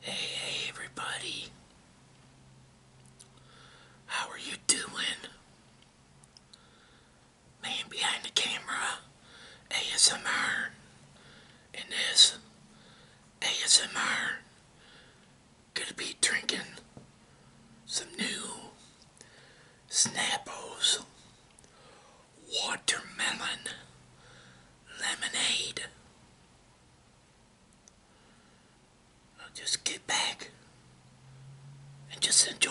Hey, hey everybody. How are you doing? Man behind the camera, ASMR, and this ASMR gonna be drinking some new Snappos watermelon lemonade. just get back and just enjoy.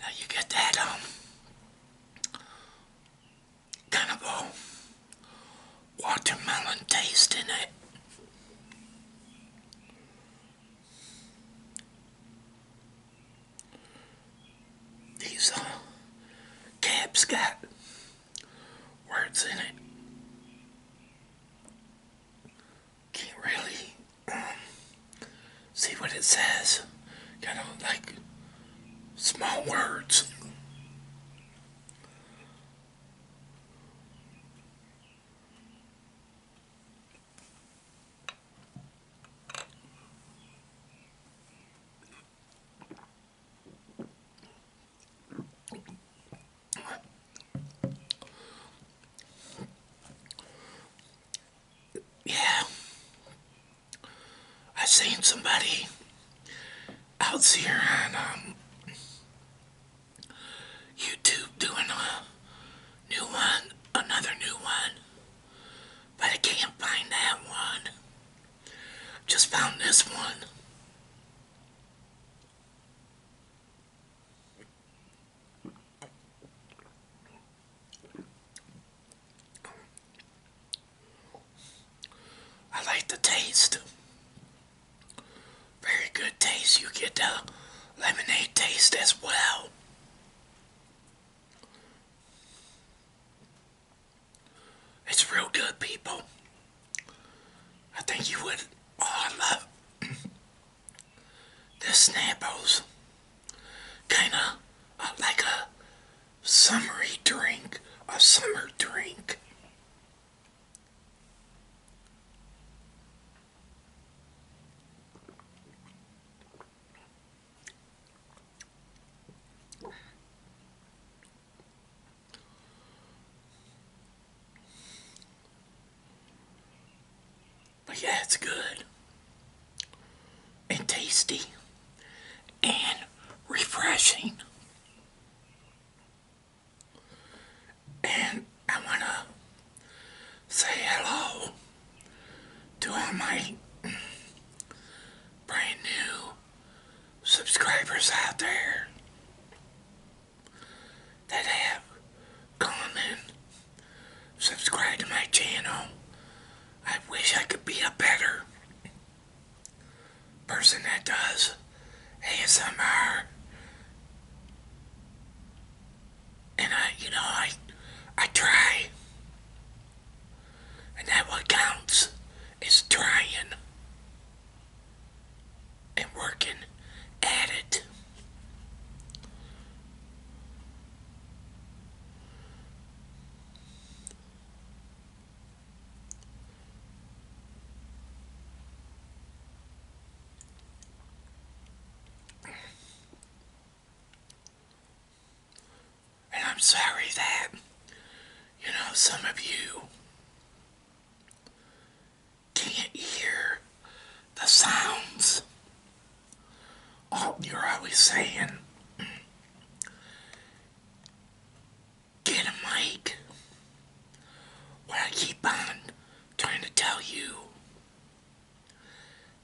Now you get that um kind of a watermelon taste in it. These uh, caps got words in it can't really um, see what it says. Kind of like small words. Yeah. I seen somebody out here on um, YouTube doing a new one, another new one, but I can't find that one. Just found this one. I like the taste. Very good taste. You get the lemonade taste as well. It's real good, people. I think you would all love the Snapples. Kinda like a summery drink, a summer drink. But yeah, it's good and tasty and refreshing. And I want to say hello to all my brand new subscribers out there that have come and subscribed to my channel. I wish I could be a better person that does ASMR. And I, you know, I, I try. And that what counts is trying and working at it. And I'm sorry that, you know, some of you can you hear the sounds? Oh, you're always saying, get a mic. What keep on trying to tell you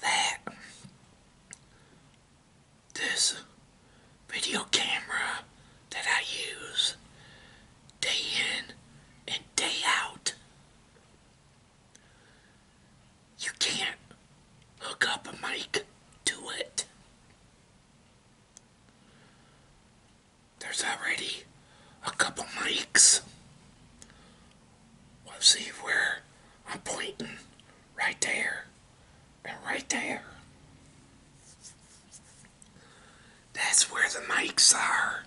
that this video camera that I use day in and day out. You can't hook up a mic to it. There's already a couple mics. Let's see where I'm pointing right there. And right there, that's where the mics are.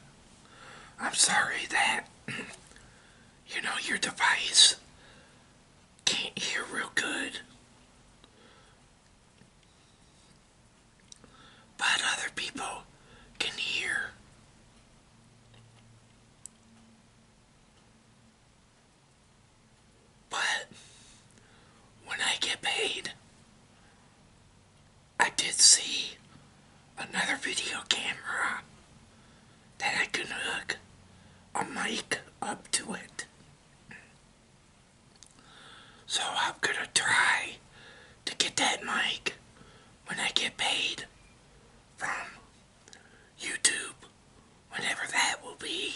I'm sorry that, you know, your device can't hear real good. But other people can hear. But when I get paid, I did see another video camera that I can hook a mic up to it. So I'm gonna try to get that mic when I get paid from YouTube, whenever that will be.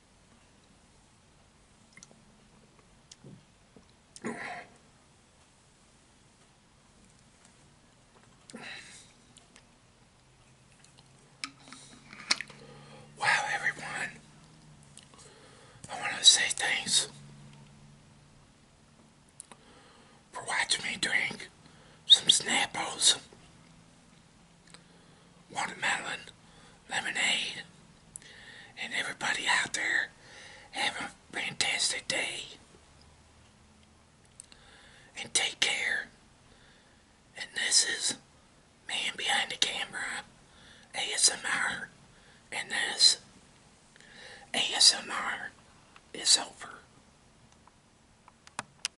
Wow, everyone. I want to say thanks for watching me drink some Snapples watermelon lemonade. And everybody out there, have a fantastic day. And take care. And this is Man Behind the Camera ASMR. And this ASMR is over.